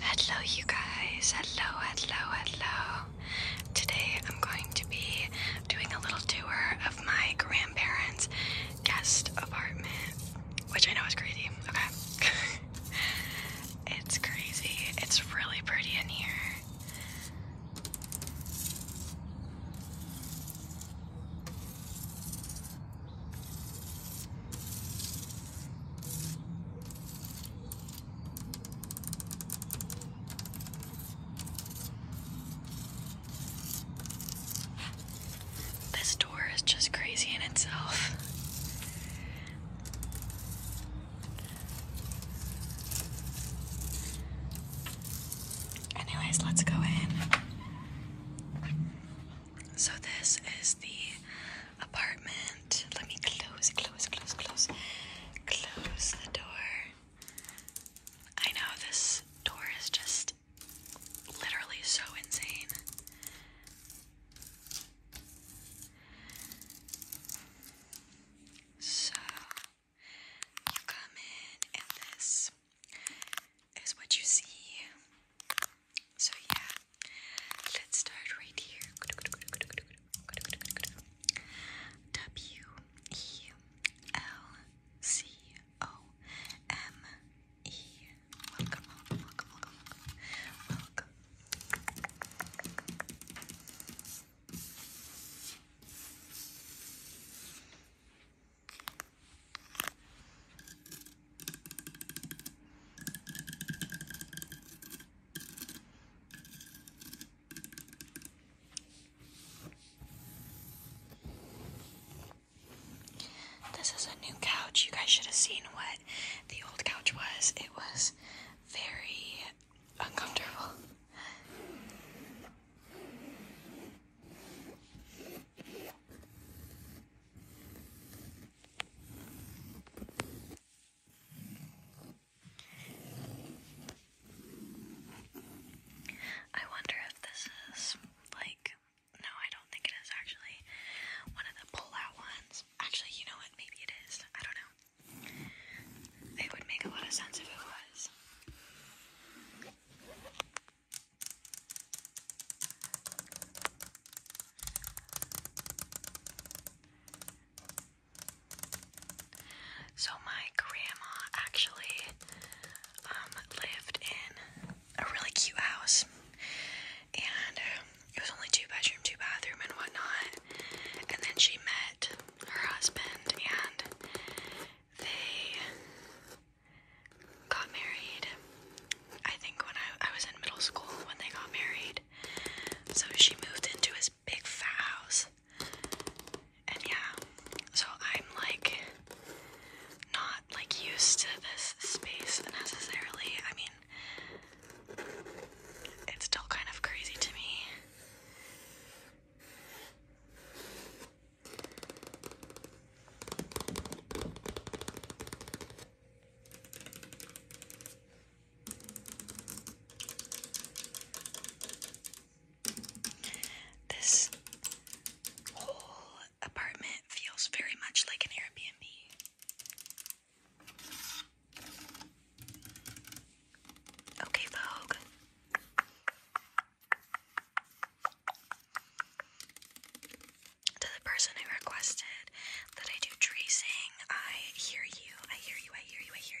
Hello, you guys. Hello, hello, hello. Today I'm going to be doing a little tour of my grandparents' guest apartment, which I know is crazy. Okay. it's crazy. It's really pretty in here. This door is just crazy in itself. Anyways, let's go in. So, this is the apartment. Let me close, close, close, close, close the door. I know this door is just literally so insane. So, you come in, and this is what you see. So yeah, let's start right here. W E L C O M E. Welcome, welcome, welcome, welcome, welcome. Welcome. This is a new couch. You guys should have seen what the old couch was. It was very uncomfortable. I wonder if this is like, no, I don't think it is actually one of the pull out ones. Actually, you know what? Maybe it is. I don't know. It would make a lot of sense if it was. So my grandma actually um, lived in a really cute house, and um, it was only two bedroom, two bathroom, and whatnot. And then she met her husband, and they got married. I think when I, I was in middle school when they got married. So she moved into his big fat house. And yeah, so I'm like not like used to this space necessarily. I mean, it's still kind of crazy to me. This whole apartment feels very much like an Airbnb. Okay, Vogue. To the person who requested that I do tracing, I hear you, I hear you, I hear you, I hear you.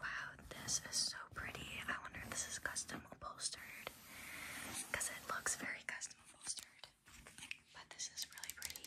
Wow, this is so pretty. I wonder if this is custom upholstered because it looks very custom upholstered, but this is really pretty.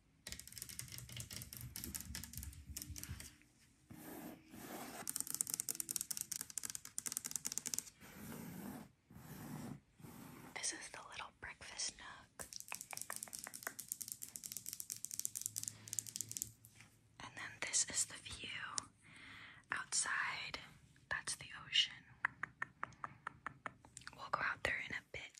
This is the little breakfast nook. And then this is the view outside. That's the ocean. We'll go out there in a bit.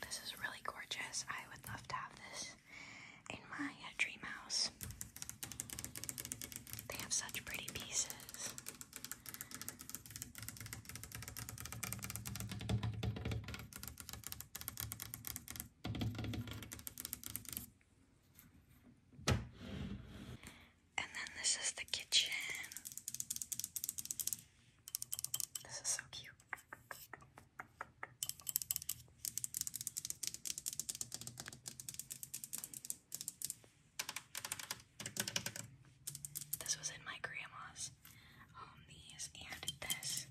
This is really gorgeous. I would love to have this in my uh, dream house. They have such pretty pieces. And then this is the kitchen. This is so cute. This was in my grandma's. Um, these and this.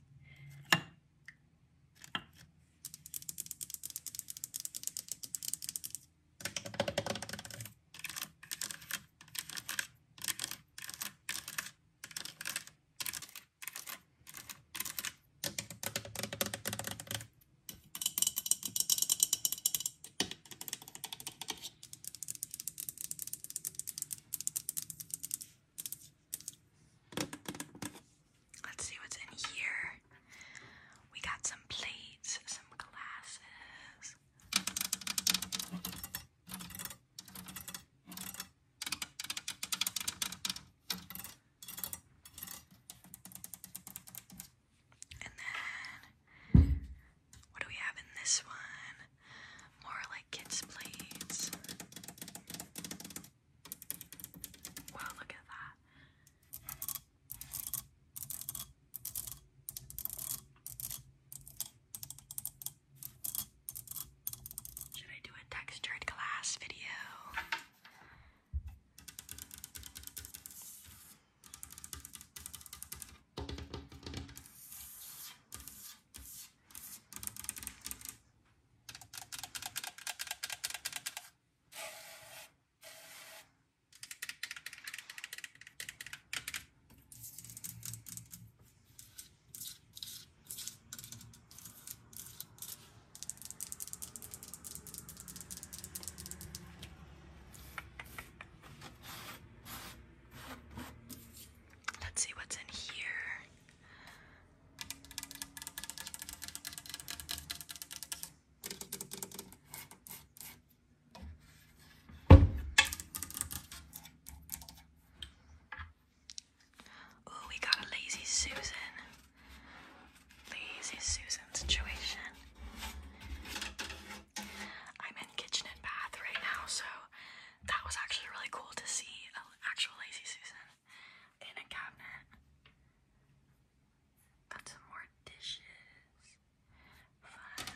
Let's see what's in here. We got some plates, some glasses. And then, what do we have in this one? More like kids' plates. Wow, look at that. Should I do a textured glass video? Let's see what's in here. Oh, we got a lazy Susan. Lazy Susan situation. I'm in kitchen and bath right now, so that was actually really cool to see an actual lazy Susan in a cabinet. Got some more dishes. Fun.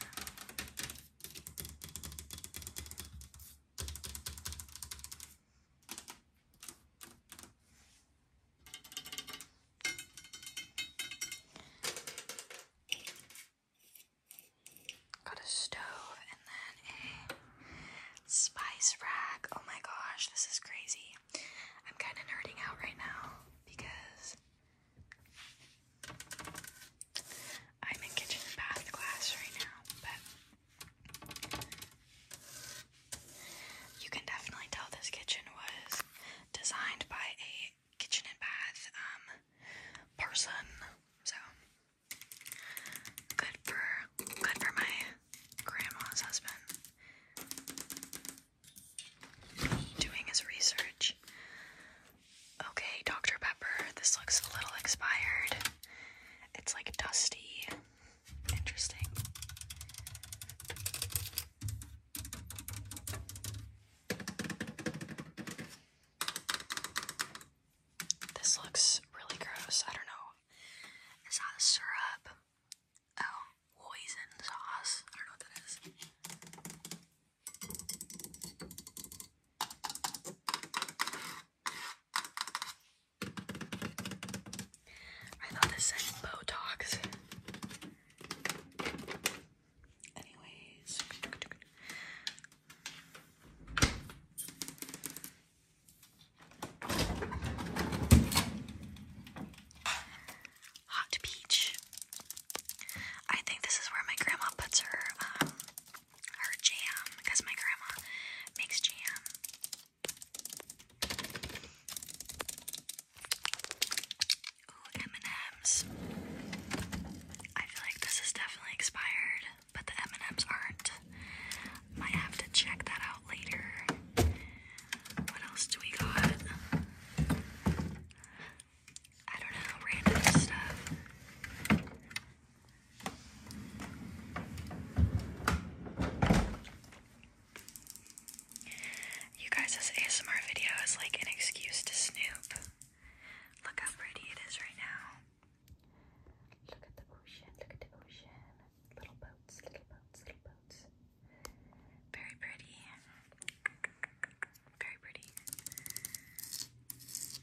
Got a stove and then a spice rack. Oh my gosh, this is crazy. I'm kind of nerding out right now because I'm in kitchen and bath class right now, but you can definitely tell this kitchen was designed by a kitchen and bath um, person. So good for good for my grandma's husband doing his research Okay, Dr. Pepper, this looks a little expired. It's like dusty. Interesting. This looks really gross. I don't know. Is that syrup? Oh, poison sauce. I don't know what that is. I thought this said Botox. Anyways. Hot peach. I think this is where my grandma puts her um, her jam because my grandma makes jam. Ooh, m ms I feel like this is definitely expired, but the m ms aren't. Might have to check that out later. What else do we got? I don't know, random stuff. You guys, this ASMR video is like an excuse to snoop. Look how pretty it is right now. Look at the ocean, look at the ocean. Little boats, little boats, little boats. Very pretty. Very pretty.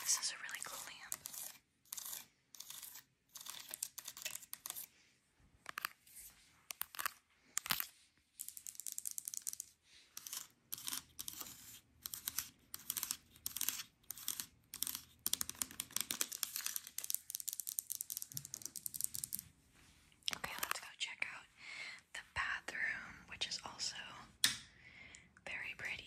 This is a really cool lamp. Okay, let's go check out the bathroom, which is also very pretty.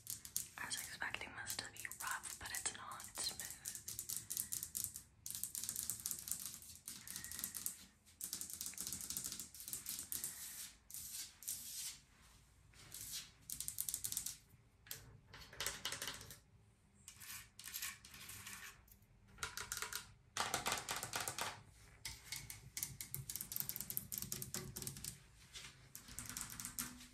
I was expecting this to be rough, but it's not. It's smooth.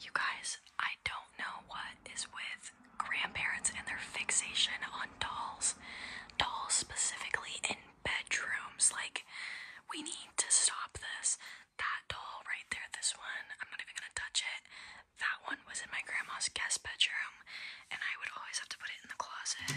You guys, I don't know what is with grandparents and their fixation on dolls, dolls specifically, and bedrooms. Like, we need to stop this. That doll right there, this one, I'm not even gonna touch it. That one was in my grandma's guest bedroom, and I would always have to put it in the closet.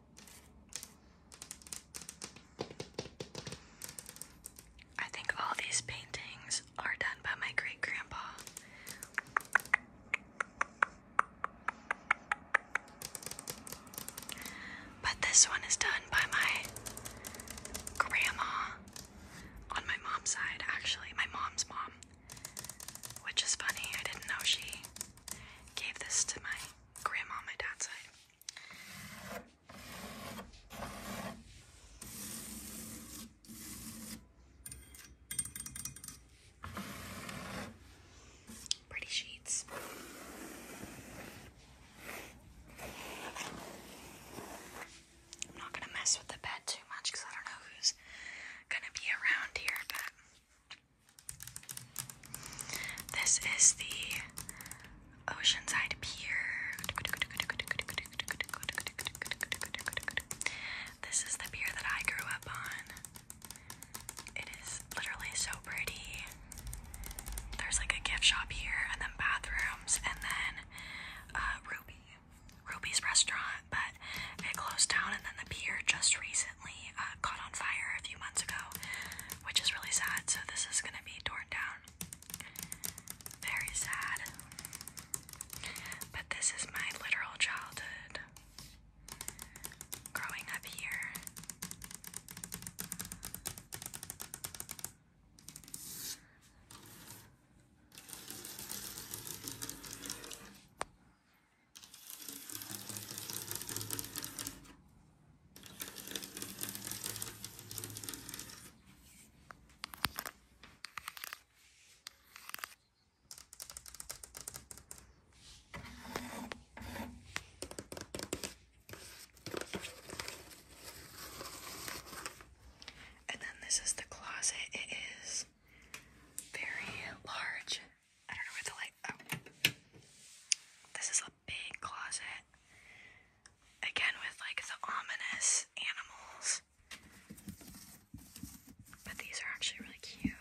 I think all these paintings are done by my great grandpa. But this one is done by my grandma on my mom's side, actually, my mom's mom. Which is funny, I didn't know she gave this to my grandma my dad's side. Pretty sheets. I'm not gonna mess with the bed too much because I don't know who's gonna be around here, but this is the Oceanside Pier. This is the pier that I grew up on. It is literally so pretty. There's like a gift shop here, and then bathrooms, and then uh, Ruby, Ruby's restaurant, but it closed down, and then the pier just recently. Uh, caught on fire a few months ago, which is really sad. So this is gonna be torn down. Very sad. But this is my literal childhood growing up here. And then this is the closet. It is very large I don't know where the light. Oh, this is a big closet. Again with like the ominous animals, but these are actually really cute.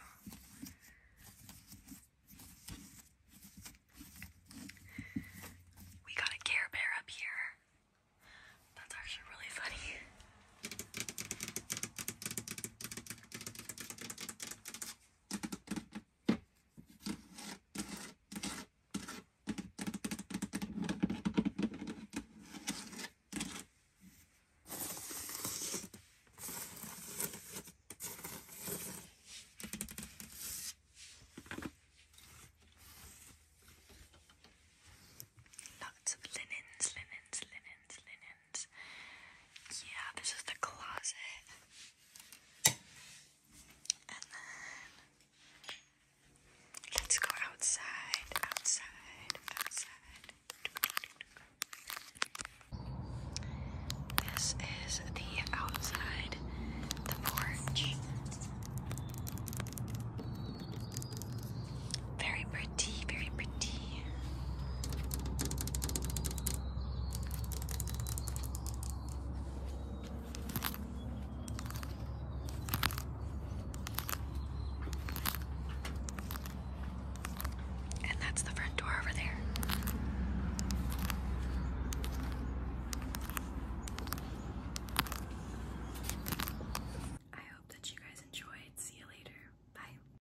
We got a Care Bear up here. That's actually really funny. Lots of linens, linens, linens, linens. Yeah, this is the closet. And then let's go outside, outside, outside. This is the outside, the porch. Very pretty, very pretty see. And that's the front door over there. I hope that you guys enjoyed. See you later. Bye.